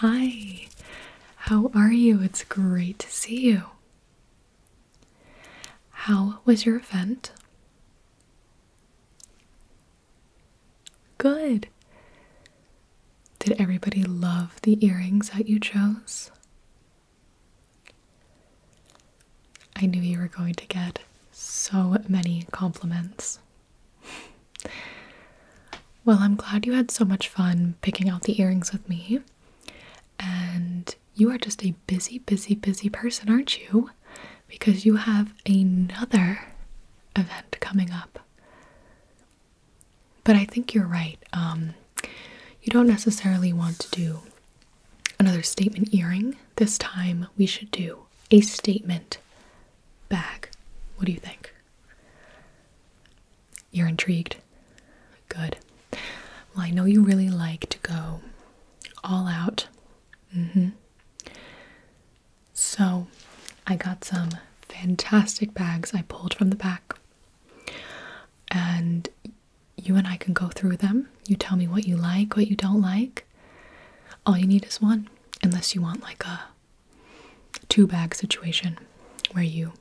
Hi, how are you? It's great to see you. How was your event? Good. Did everybody love the earrings that you chose? I knew you were going to get so many compliments well, I'm glad you had so much fun picking out the earrings with me. And you are just a busy, busy, busy person, aren't you? Because you have another event coming up. But I think you're right. Um, you don't necessarily want to do another statement earring. This time we should do a statement bag. What do you think? You're intrigued? Good. Well, I know you really like to go all out. Mm hmm. So, I got some fantastic bags I pulled from the back. And you and I can go through them. You tell me what you like, what you don't like. All you need is one, unless you want like a two bag situation where you,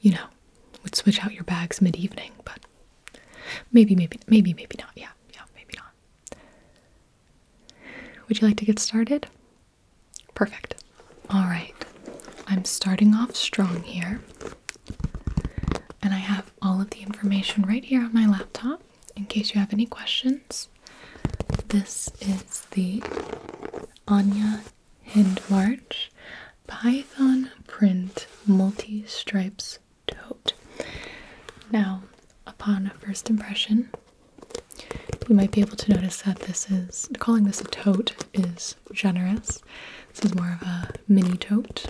you know, would switch out your bags mid evening, but maybe, maybe, maybe, maybe not. Yeah, yeah, maybe not. Would you like to get started? Perfect. All right. I'm starting off strong here. And I have all of the information right here on my laptop in case you have any questions. This is the Anya Hindmarch Python Print Multi Stripes Tote. Now, upon a first impression, you might be able to notice that this is calling this a tote is generous. This is more of a mini tote.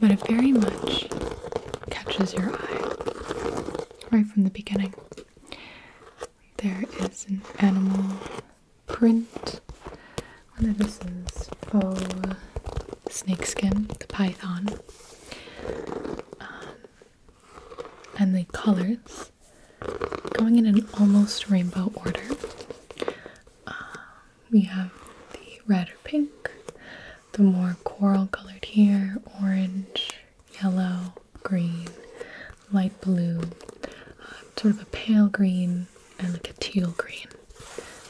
But it very much catches your eye right from the beginning. There is an animal print. Whether this is faux snakeskin, the python. Um, and the colors going in an almost rainbow order. Um, we have the red or pink, the more coral colored here, orange, yellow, green, light blue, uh, sort of a pale green, and like a teal green.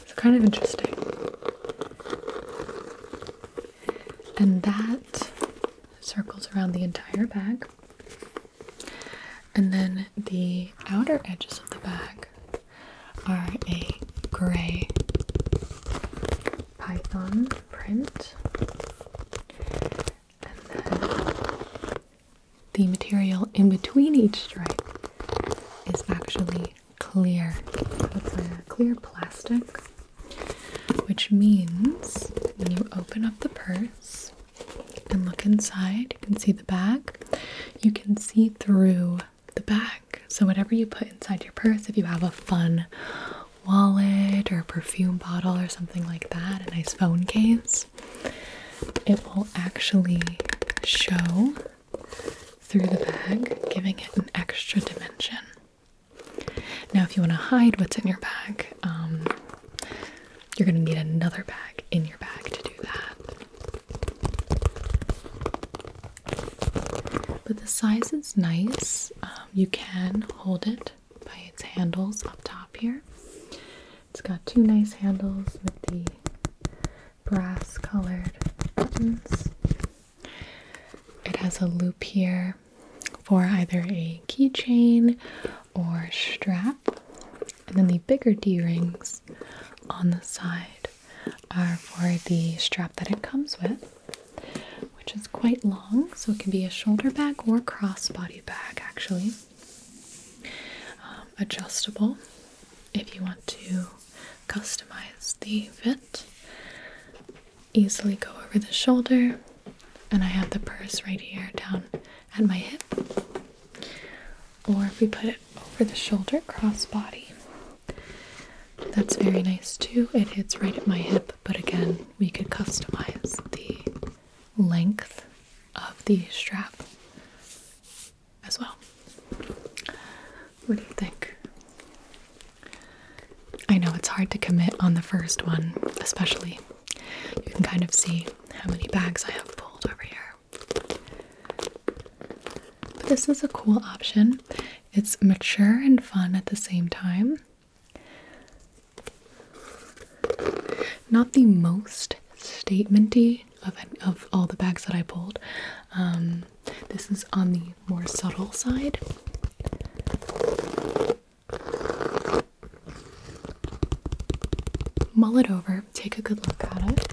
It's kind of interesting. And that circles around the entire bag. And then the outer edges of the bag are a grey python print, and then the material in between each stripe is actually clear. clear plastic, which means when you open up the purse and look inside, you can see the back. You can see through the back. So, whatever you put inside your purse, if you have a fun wallet or a perfume bottle or something like that, a nice phone case, it will actually show through the bag, giving it an extra dimension. Now, if you want to hide what's in your bag, um, you're going to need another bag in your bag to do that. But the size is nice. Um, you can hold it by its handles up top here. It's got two nice handles with the brass colored buttons. It has a loop here for either a keychain or strap, and then the bigger D rings on the side are for the strap that it comes with, which is quite long, so it can be a shoulder bag or crossbody bag actually. Um, adjustable if you want to customize the fit. Easily go over the shoulder, and I have the purse right here down at my hip. Or if we put it over the shoulder, crossbody, that's very nice too. It hits right at my hip, but again, we could customize the length of the strap as well. What do you think? I know it's hard to commit on the first one, especially. You can kind of see how many bags I have pulled over here. But this is a cool option. It's mature and fun at the same time. Not the most statementy of of all the bags that I pulled. Um, this is on the more subtle side. Mull it over. Take a good look at it.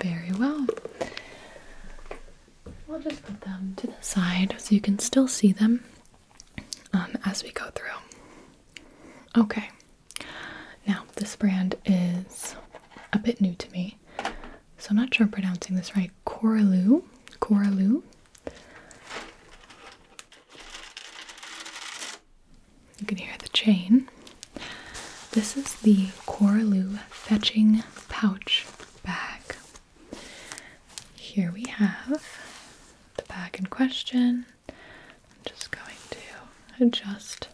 very well. We'll just put them to the side so you can still see them um, as we go through. Okay. Now, this brand is a bit new to me, so I'm not sure I'm pronouncing this right. Coraloo. Coraloo. You can hear the chain. This is the Coraloo Fetching Pouch bag. Here we have the bag in question. I'm just going to adjust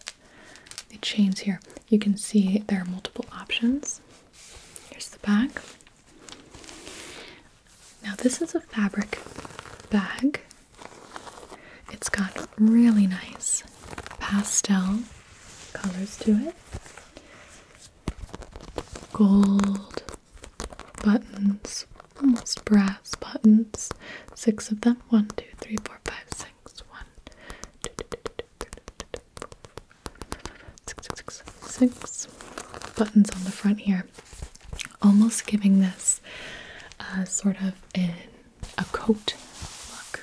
the chains here. You can see there are multiple options. Here's the bag. Now, this is a fabric bag. It's got really nice pastel colors to it. Gold buttons, almost brass buttons. Six of them. One, two, three, four, five, six. One, two, two, two, two, buttons on the front here. Almost giving this uh, sort of a coat look.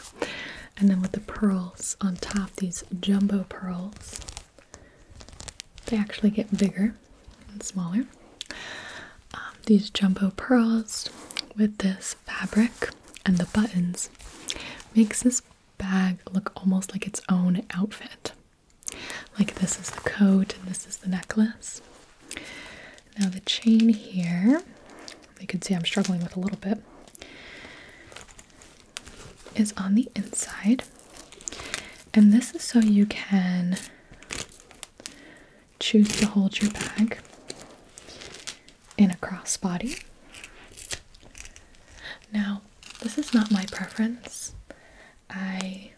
And then with the pearls on top, these jumbo pearls. They actually get bigger and smaller. Um, these jumbo pearls with this fabric and the buttons makes this bag look almost like its own outfit. Like this is the coat and this is the necklace. Now the chain here, you can see I'm struggling with a little bit is on the inside, and this is so you can choose to hold your bag in a crossbody. Now, this is not my preference. I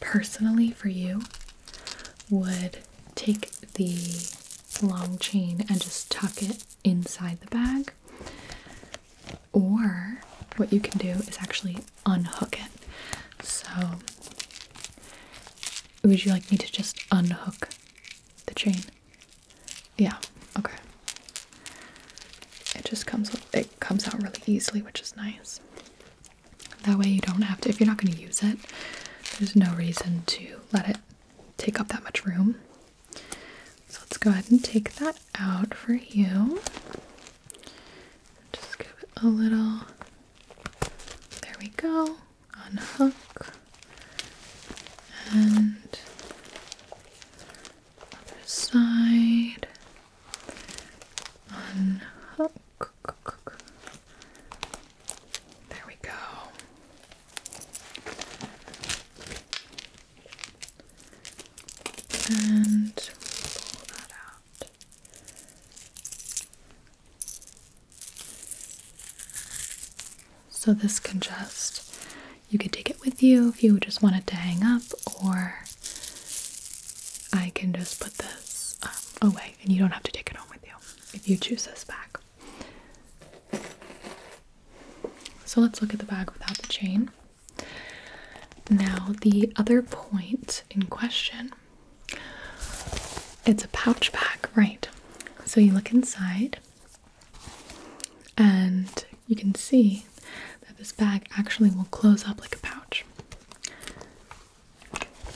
personally, for you, would take the long chain and just tuck it inside the bag or what you can do is actually unhook it. So, would you like me to just unhook the chain? Yeah, okay. It just comes it comes out really easily, which is nice. That way you don't have to if you're not going to use it. There's no reason to let it take up that much room. So let's go ahead and take that out for you. Just give it a little. There we go. Unhook. And other side. Unhook. There we go and So, this can just, you could take it with you if you just wanted to hang up, or I can just put this um, away and you don't have to take it home with you if you choose this back. So let's look at the bag without the chain. Now, the other point in question it's a pouch bag, right? So you look inside and you can see that this bag actually will close up like a pouch.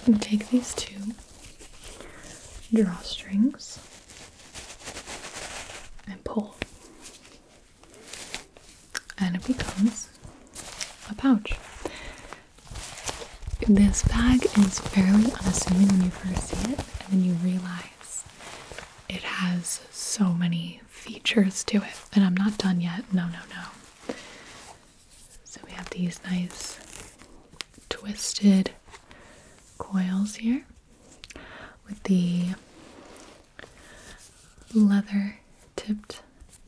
You take these two drawstrings and pull. And it becomes a pouch. This bag is fairly unassuming when you first see it, and then you realize it has so many features to it. And I'm not done yet. No, no, no. So we have these nice twisted coils here with the leather tipped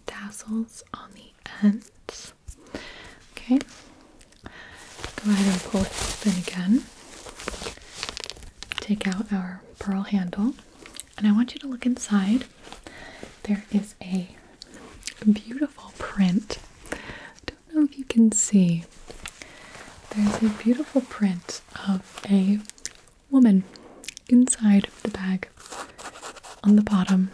tassels on the ends. Okay, go ahead and pull it open again. Take out our pearl handle, and I want you to look inside. There is a beautiful print. I don't know if you can see. There's a beautiful print of a woman inside the bag on the bottom.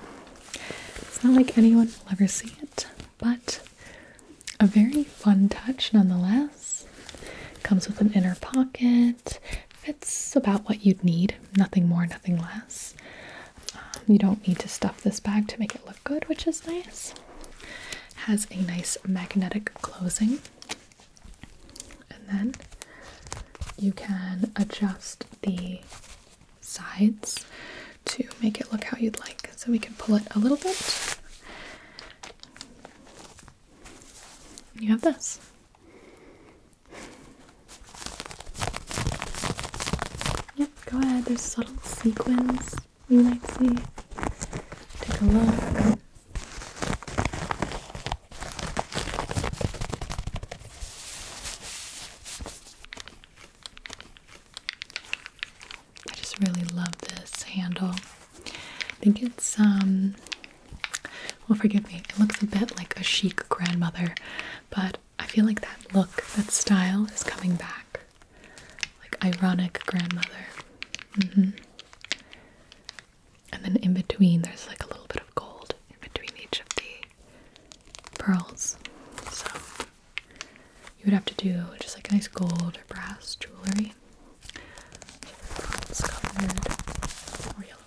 It's not like anyone will ever see it, but a very fun touch nonetheless. Comes with an inner pocket, fits about what you'd need, nothing more, nothing less. Um, you don't need to stuff this bag to make it look good, which is nice. Has a nice magnetic closing, and then you can adjust the sides to make it look how you'd like. So we can pull it a little bit. You have this. Yep, go ahead. There's subtle sequins we might see. Take a look. I just really love this handle. I think it's um well forgive me, it looks a bit like a chic grandmother, but I feel like that look, that style is coming back like ironic grandmother. Mm-hmm. And then in between, there's like a little bit of gold in between each of the pearls. So you would have to do just like nice gold or brass jewelry. Pearls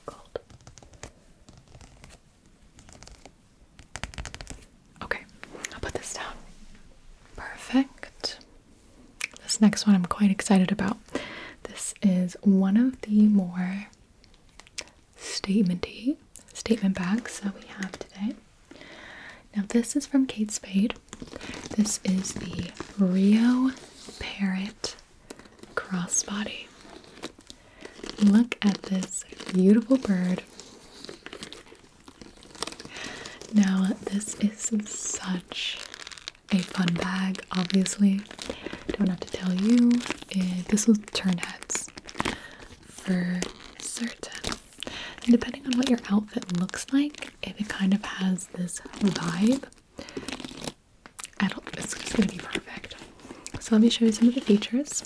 gold. Okay, I'll put this down. Perfect. This next one I'm quite excited about. This is one of the more statementy statement bags that we have today. Now this is from Kate Spade. This is the Rio Parrot crossbody. Look at this beautiful bird. Now, this is such a fun bag, obviously. Don't have to tell you, this will turn heads for certain. And depending on what your outfit looks like, if it kind of has this vibe, I don't, it's just gonna be perfect. So, let me show you some of the features.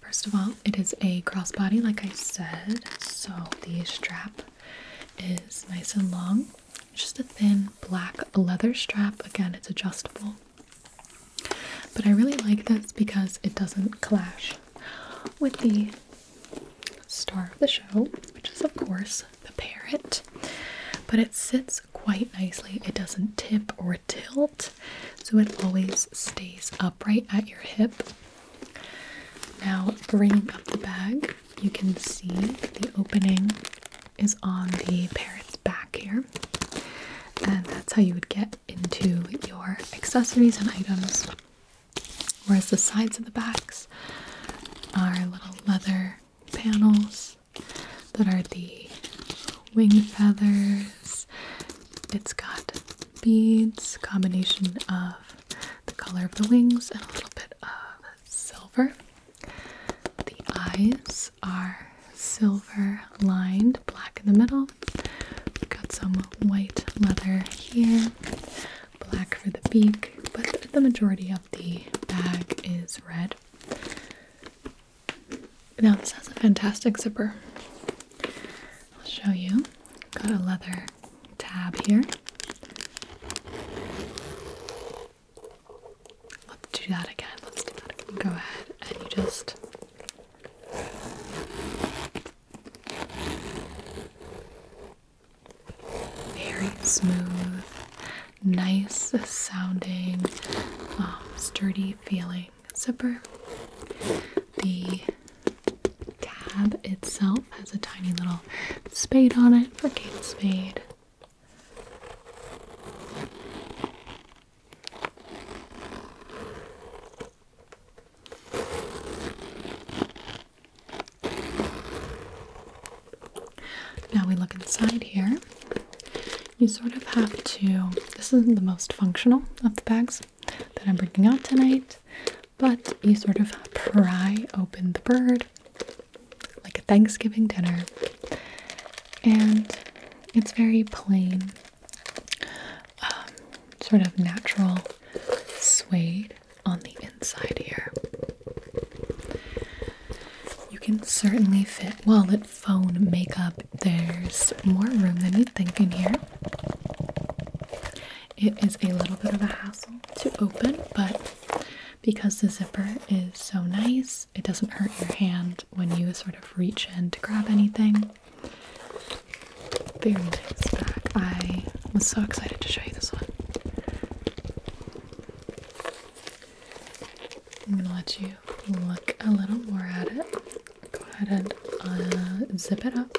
First of all, it is a crossbody, like I said, so the strap is nice and long. It's just a thin black leather strap. Again, it's adjustable. But I really like this because it doesn't clash with the star of the show, which is, of course, the parrot. But it sits quite nicely. It doesn't tip or tilt, so it always stays upright at your hip. Now, bring up the bag, you can see the opening is on the parrot's back here, and that's how you would get into your accessories and items. Whereas the sides of the backs are little leather panels that are the wing feathers. It's got beads, combination of the color of the wings and a little bit of silver. The eyes are silver lined, black in the middle. got some white leather here, black for the beak, but the majority of the bag is red. Now, this has a fantastic zipper. I'll show you. Got a leather tab here. Let's do that again. Let's do that again. Go ahead and you just very smooth, nice sounding, um, sturdy feeling zipper. The tab itself has a tiny little spade on it for were gates made? Now we look inside here. You sort of have to, this is not the most functional of the bags that I'm bringing out tonight. But you sort of pry open the bird like a Thanksgiving dinner, and it's very plain, um, sort of natural suede on the inside here. You can certainly fit wallet, phone, makeup. There's more room than you'd think in here. It is a little bit of a hassle to open, but because the zipper is so nice, it doesn't hurt your hand when you sort of reach in to grab anything. Very nice back. I was so excited to show you this one. I'm gonna let you look a little more at it. Go ahead and uh, zip it up.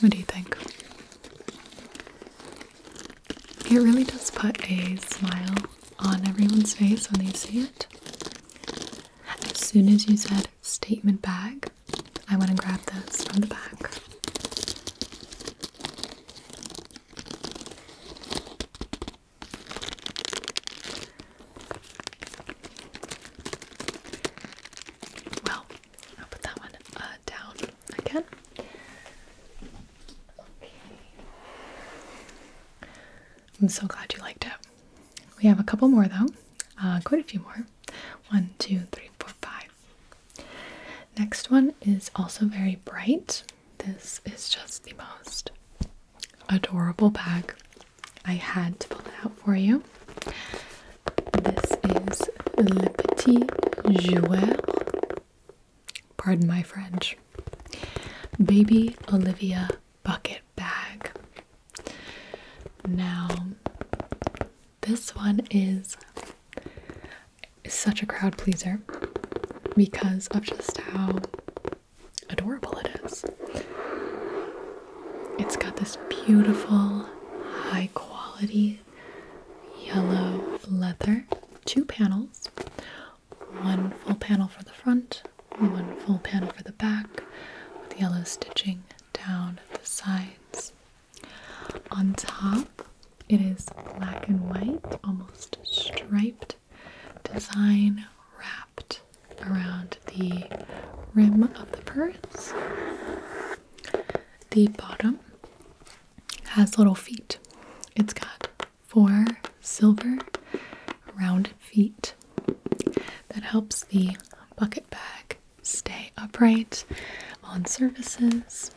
What do you think? It really does put a smile on everyone's face when they see it. As soon as you said statement bag, I went and grabbed this from the back. Well, I'll put that one uh, down again. Okay. I'm so glad you liked it. We have a couple more though, uh, quite a few more. One, two, three, four, five. Next one is also very bright. This is just the most adorable bag. I had to pull it out for you. This is Le Petit Joueur. Pardon my French. Baby Olivia bucket bag. Now, this one is such a crowd pleaser because of just how adorable it is. It's got this beautiful, high quality yellow leather. Two panels one full panel for the front, one full panel for the back, with yellow stitching down the sides. On top, it is black and white, almost striped design wrapped around the rim of the purse the bottom has little feet. It's got four silver rounded feet that helps the bucket bag stay upright on surfaces.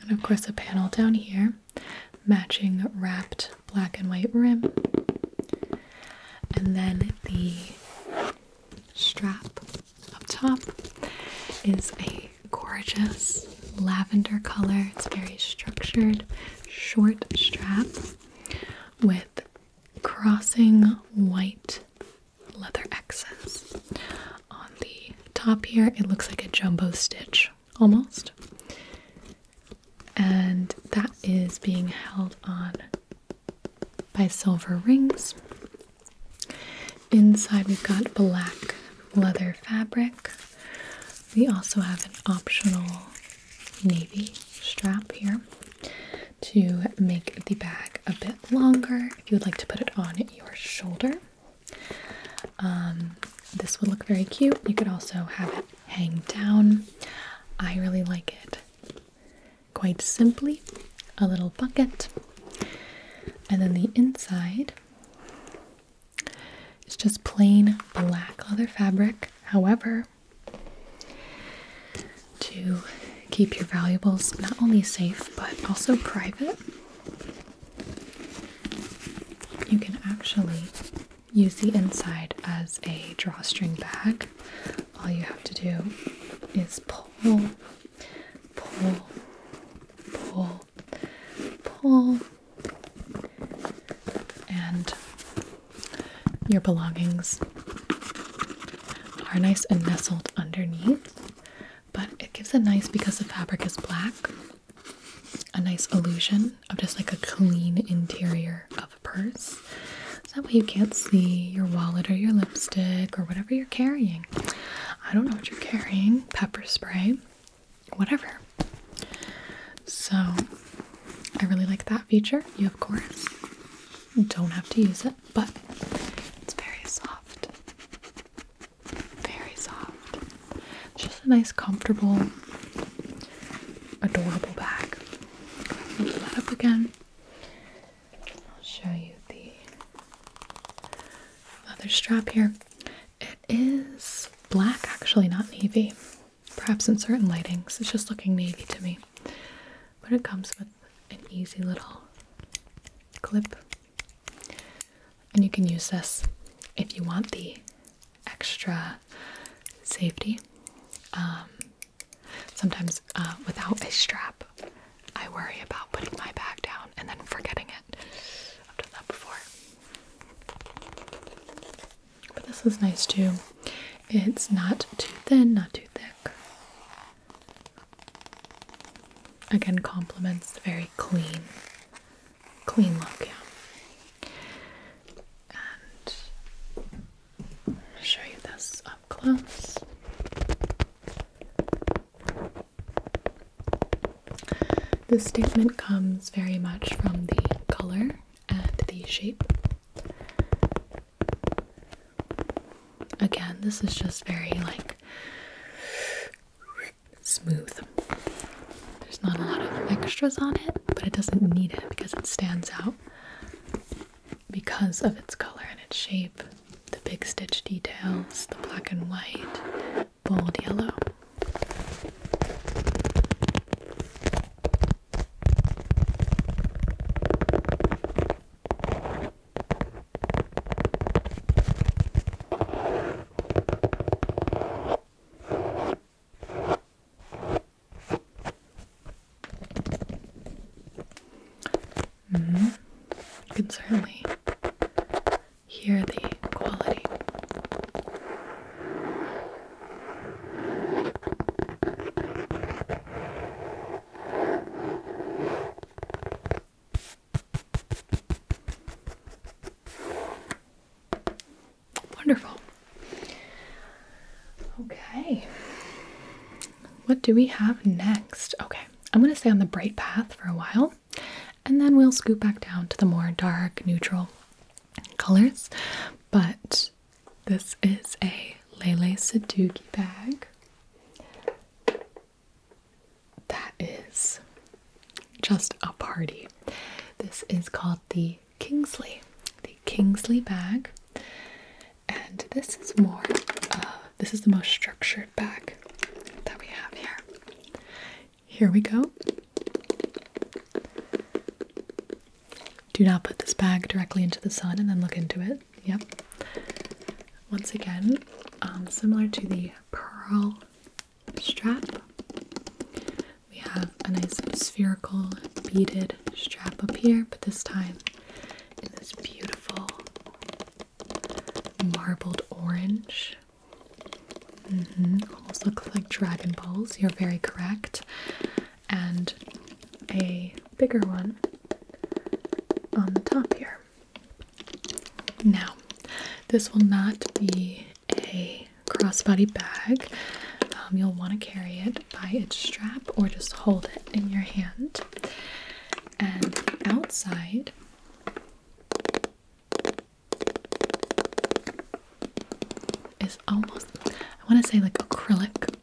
And of course, a panel down here matching wrapped black and white rim and then the strap up top is a gorgeous lavender color. It's very structured, short strap with crossing white leather X's. On the top here, it looks like a jumbo stitch almost. And that is being held on by Silver Rings. Inside, we've got black leather fabric. We also have an optional navy strap here to make the bag a bit longer if you would like to put it on your shoulder. Um, this would look very cute. You could also have it hang down. I really like it quite simply a little bucket. And then the inside is just plain black leather fabric. However, to keep your valuables not only safe but also private, you can actually use the inside as a drawstring bag all you have to do is pull, pull, pull, pull, and your belongings are nice and nestled underneath. But it gives a nice, because the fabric is black, a nice illusion of just like a clean interior of purse. So that way you can't see your wallet or your lipstick or whatever you're carrying. I don't know what you're carrying, pepper spray, whatever. So I really like that feature. You, of course, don't have to use it, but it's very soft. Very soft. Just a nice, comfortable, adorable bag. Open that up again. I'll show you the leather strap here. It is black, actually, not navy. Perhaps in certain lightings, it's just looking navy to me. But it comes with an easy little clip. And you can use this if you want the extra safety. Um, Sometimes uh, without a strap, I worry about putting my bag down and then forgetting it. I've done that before. But this is nice too. It's not too thin, not too thick. Again, complements very clean, clean look, yeah. I'll show you this up close. This statement comes very much from the color and the shape. Again, this is just very like smooth. There's not a lot of extras on it, but it doesn't need it because it stands out because of its color and its shape, the big stitch details, the black and white, bold yellow. Mm-hmm. You can certainly hear the quality. Wonderful. Okay. What do we have next? Okay, I'm going to stay on the bright path for a while and then we'll scoop back down to the more dark, neutral colors. But this is a Lele Saduki bag that is just a party. This is called the Kingsley, the Kingsley bag and this is more this is the most structured bag that we have here here we go do not put this bag directly into the sun and then look into it yep once again um, similar to the pearl strap we have a nice spherical beaded strap up here but this time this beautiful marbled orange. Mm-hmm. Almost looks like Dragon Balls. You're very correct. And a bigger one on the top here. Now, this will not be a crossbody bag. Um, you'll want to carry it by its strap or just hold it in your hand. And the outside is almost, I want to say like acrylic,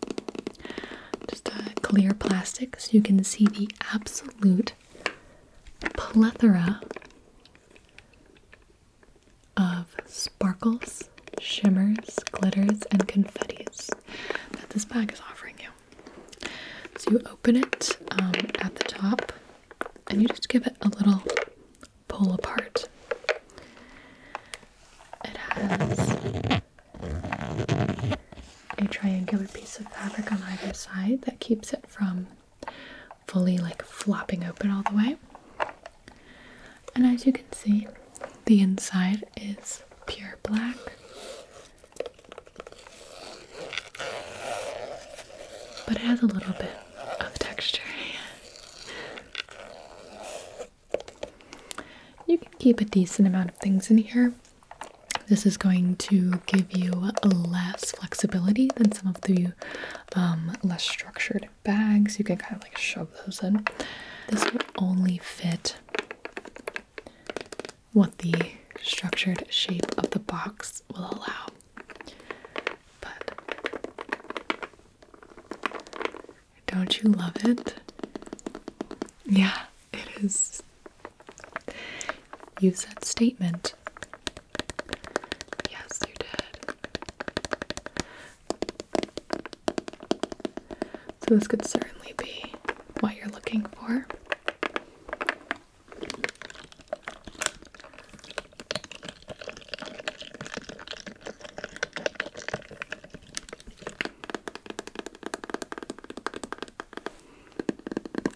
just a clear plastic so you can see the absolute plethora of sparkles, shimmers, glitters, and confettis that this bag is offering you. So you open it um, at the top and you just give it a little pull apart. It has a triangular piece of fabric on either side that keeps it from fully like flopping open all the way. And as you can see, the inside is pure black. But it has a little bit of texture. you can keep a decent amount of things in here. This is going to give you less flexibility than some of the um, less structured bags. You can kind of like shove those in. This will only fit what the structured shape of the box will allow. But don't you love it? Yeah, it is. You said statement. Yes, you did. So this could certainly be what you're looking for.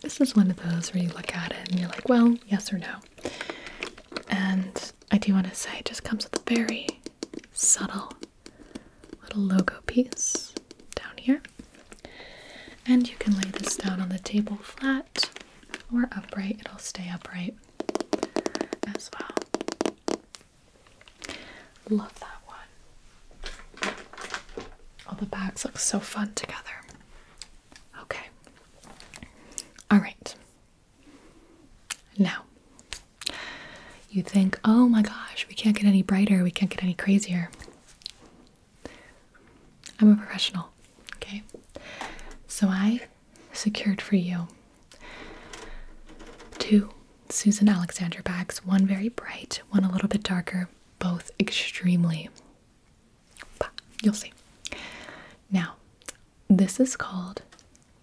This is one of those where you look at it and you're like, well, yes or no. And I do want to say it just comes with a very subtle little logo piece down here. And you can lay this down on the table flat or upright, it'll stay upright as well. Love that one. All the bags look so fun together. Okay. All right. Now, you think, oh my gosh, we can't get any brighter, we can't get any crazier. I'm a professional, okay? So I secured for you two Susan Alexander bags, one very bright, one a little bit darker, both extremely. you'll see. Now, this is called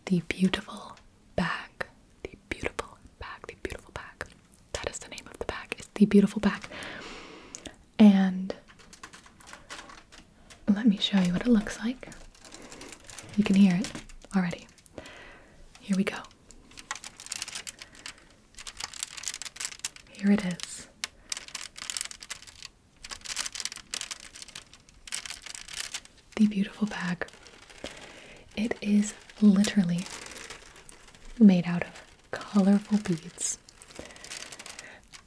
the Beautiful bag, the beautiful bag, the beautiful bag. That is the name of the bag. It's the beautiful bag. And let me show you what it looks like. You can hear it already. Here we go. Here it is. The beautiful bag it is literally made out of colorful beads.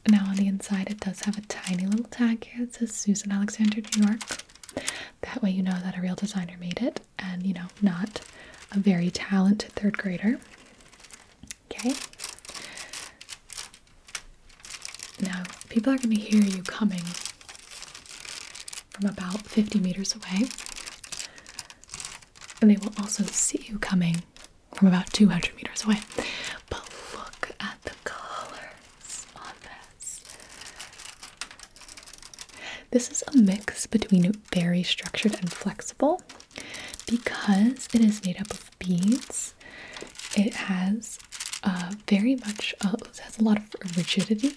Now, on the inside, it does have a tiny little tag here that says Susan Alexander, New York. That way, you know that a real designer made it and, you know, not a very talented third grader. Okay. Now, people are going to hear you coming from about 50 meters away, and they will also see you coming from about 200 meters away. But look at the colors on this. This is a mix between very structured and flexible because it is made up of beads. It has uh, very much uh, has a lot of rigidity,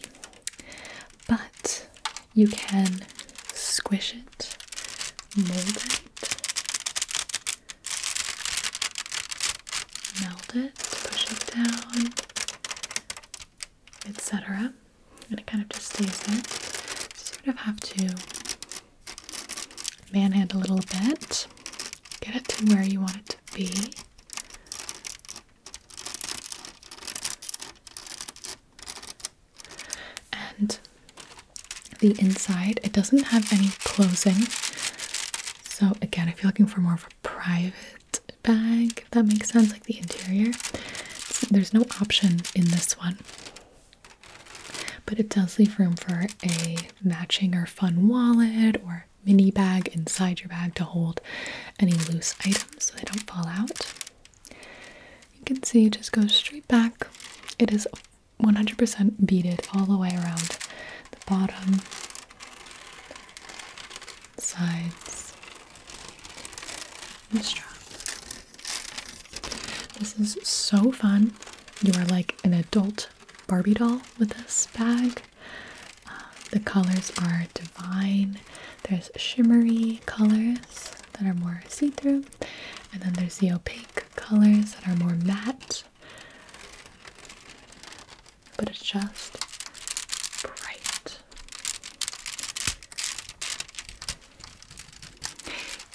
but you can squish it, mold it, melt it, push it down, etc. And it kind of just stays there. you sort of have to manhandle a little bit, get it to where you want it to be. And the inside, it doesn't have any closing. So, again, if you're looking for more of a private bag, if that makes sense, like the interior, there's no option in this one. But it does leave room for a matching or fun wallet or mini bag inside your bag to hold any loose items so they don't fall out. You can see it just goes straight back. It is 100% beaded all the way around the bottom, sides, and the strap. This is so fun. You are like an adult Barbie doll with this bag. Uh, the colors are divine. There's shimmery colors that are more see-through, and then there's the opaque colors that are more matte. But it's just bright.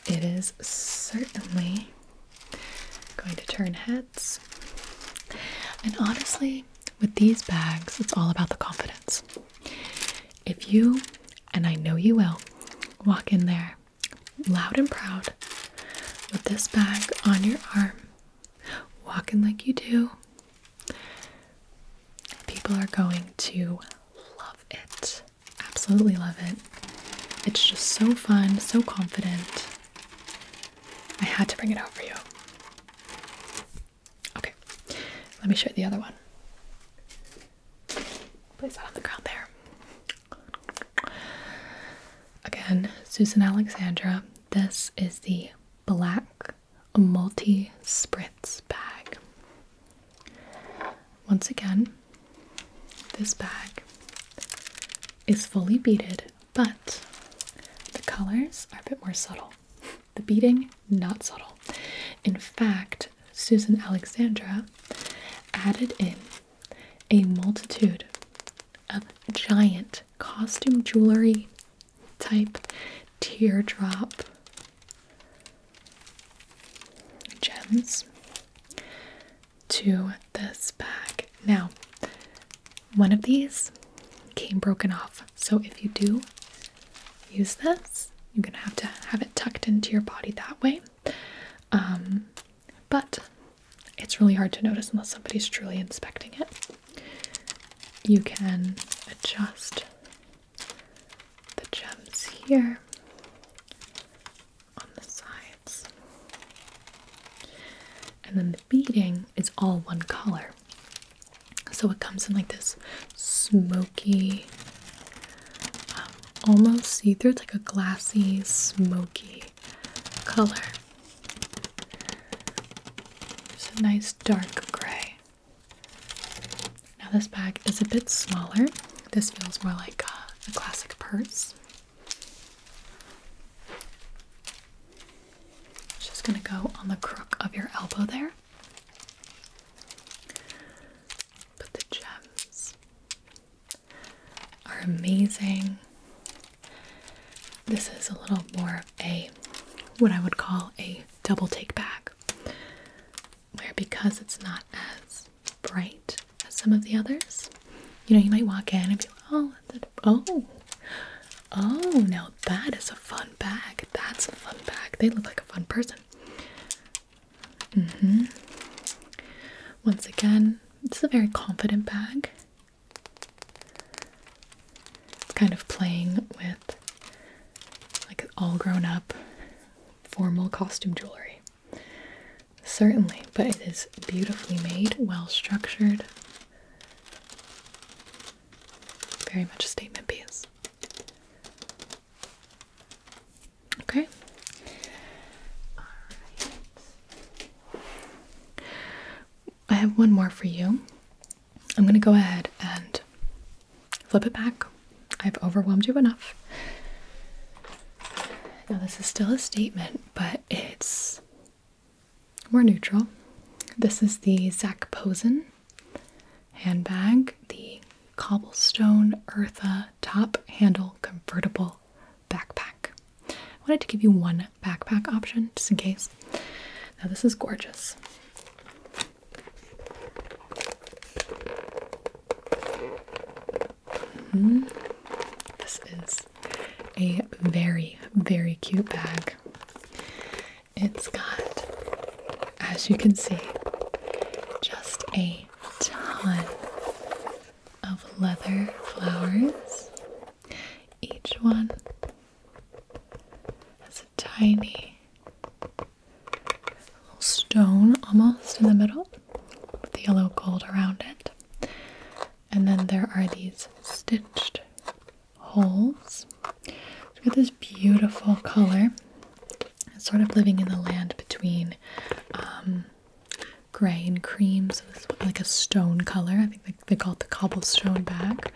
It is certainly going to turn heads. And honestly, with these bags, it's all about the confidence. If you, and I know you will, walk in there loud and proud with this bag on your arm, walking like you do, people are going to love it. Absolutely love it. It's just so fun, so confident. I had to bring it out for you. Okay, let me show you the other one. Place that on the ground there. Again, Susan Alexandra. This is the black multi spritz bag. Once again, this bag is fully beaded, but the colors are a bit more subtle. The beating, not subtle. In fact, Susan Alexandra added in a multitude of giant costume jewelry type teardrop gems to this bag. Now, one of these came broken off. So if you do use this, you're gonna have to have it tucked into your body that way. Um, but it's really hard to notice unless somebody's truly inspecting it. You can adjust the gems here on the sides. And then the beading is all one color. So it comes in like this smoky, um, almost see through. It's like a glassy, smoky color. It's a nice dark gray. Now, this bag is a bit smaller. This feels more like a, classic purse. just gonna go on the crook of your elbow there. But the gems are amazing. This is a little more of a what I would call a double take bag. where because it's not as bright as some of the others, you know, you might walk in and be like, oh, oh, oh, now that is a fun bag. That's a fun bag. They look like a fun person. Mm-hmm. Once again, it's a very confident bag. It's kind of playing with like all grown up formal costume jewelry. Certainly, but it is beautifully made, well structured. Very much a statement piece. Okay. All right. I have one more for you. I'm going to go ahead and flip it back. I've overwhelmed you enough. Now, this is still a statement, but it's more neutral. This is the Zach Posen handbag, the Cobblestone Eartha Top Handle Convertible Backpack. I wanted to give you one backpack option just in case. Now, this is gorgeous. Mm-hmm. This is a very, very cute bag. It's got, as you can see, just a ton of leather flowers. Each one has a tiny little stone almost in the middle with yellow gold around it. And then there are these stitched holes it's got this beautiful color. It's sort of living in the land between um, gray and cream, so this is like a stone color. I think they, they call it the cobblestone bag.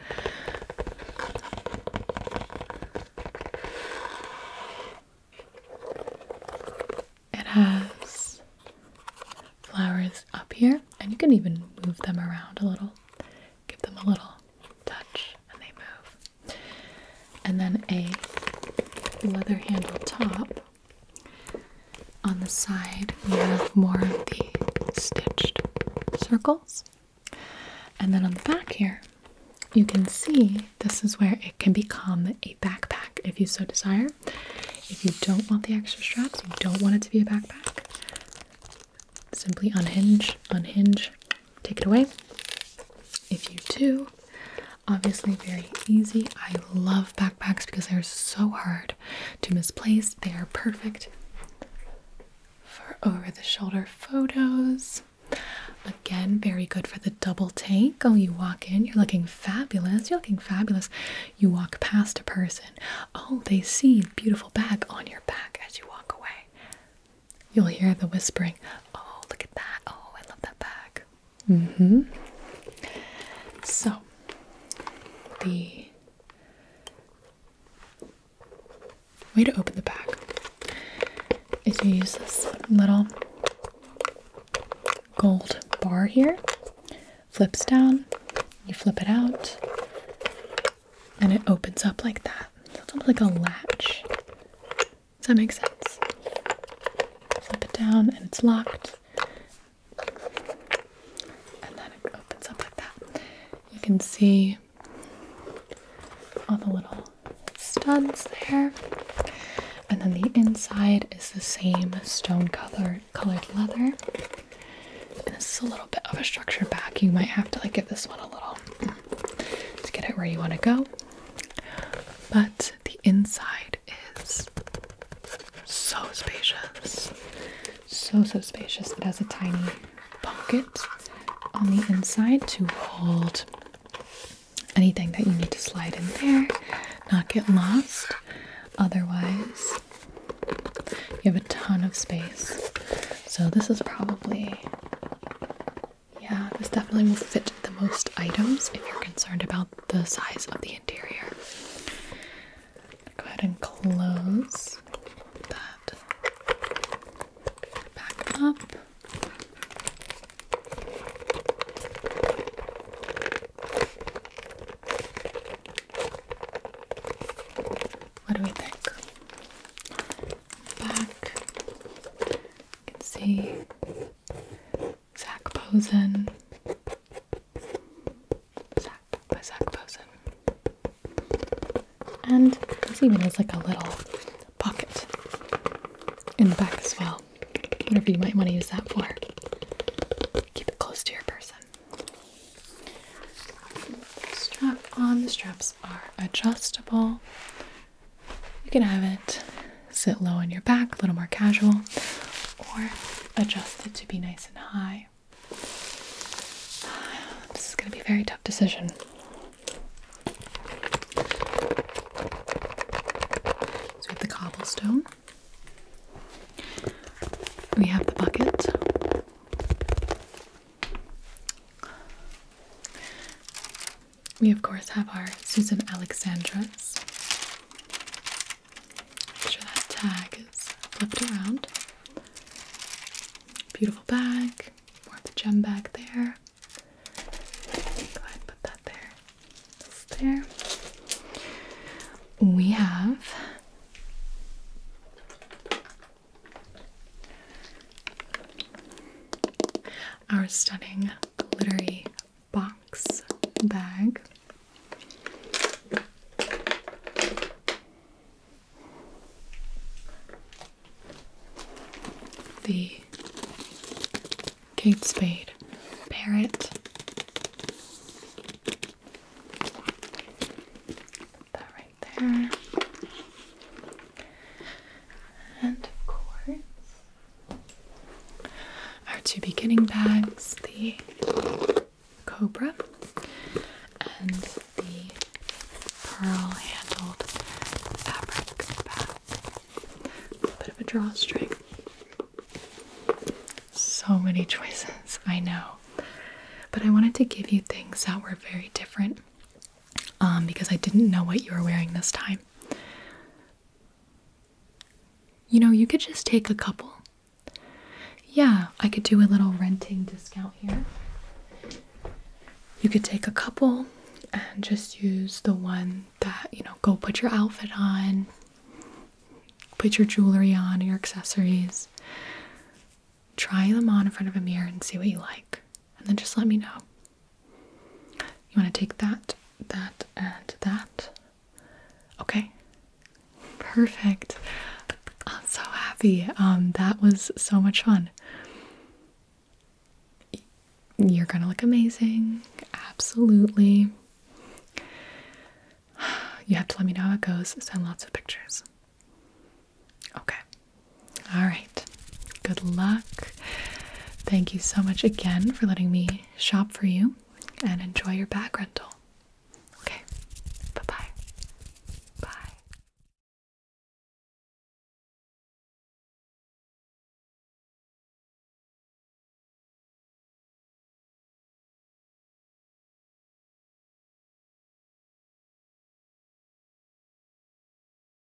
It has flowers up here, and you can even move them around a little, give them a little touch, and they move and then a leather handle top. On the side, we have more of the stitched circles. And then on the back here, you can see this is where it can become a backpack if you so desire. If you don't want the extra straps, you don't want it to be a backpack, simply unhinge, unhinge, take it away. If you do, obviously very easy. I love backpacks because they're so hard to misplace. They are perfect for over the shoulder photos. Again, very good for the double take. Oh, you walk in, you're looking fabulous. You're looking fabulous. You walk past a person. Oh, they see beautiful bag on your back as you walk away. You'll hear the whispering. Oh, look at that. Oh, I love that bag. Mm hmm. So, the way to open the bag is to use this little gold bar here, flips down, you flip it out, and it opens up like that. it's almost like a latch. Does that make sense? Flip it down and it's locked. And then it opens up like that. You can see all the little studs there. And then the inside is the same stone color colored leather. And this is a little bit of a structured back. You might have to like give this one a little room to get it where you want to go. But the inside is so spacious. So, so spacious. It has a tiny pocket on the inside to hold anything that you need to slide in there, not get lost. Otherwise, you have a ton of space. So, this is probably yeah, this definitely will fit the most items if you're concerned about the size of the interior. Go ahead and close that back up. What do we think? Back you can see Zach Posen. by Zach Posen. And this even has like a little pocket in the back as well. Whatever you might want to use that for. Keep it close to your person. Strap on. The straps are adjustable. You can have it sit low on your back, a little more casual, or adjust it to be nice and high. This is going to be a very tough decision. So we have the cobblestone. We have the bucket we of course have our Susan Alexandra's. Make sure that tag is flipped around. Beautiful bag, more of the gem bag there. Glad put that there. That's there. We have our stunning glittery box bag. The Kate Spade parrot. That right there. And of course, our two beginning bags the Cobra and the pearl handled fabric bag. A bit of a drawstring. So many choices, I know. But I wanted to give you things that were very different um, because I didn't know what you were wearing this time. You know, you could just take a couple. Yeah, I could do a little renting discount here. You could take a couple and just use the one that, you know, go put your outfit on, put your jewelry on, your accessories. Try them on in front of a mirror and see what you like and then just let me know. You want to take that, that, and that? Okay. Perfect. I'm so happy. Um, that was so much fun. You're gonna look amazing. Absolutely. You have to let me know how it goes. Send lots of pictures. Okay. All right. Good luck. Thank you so much again for letting me shop for you and enjoy your back rental. Okay. Bye-bye. Bye.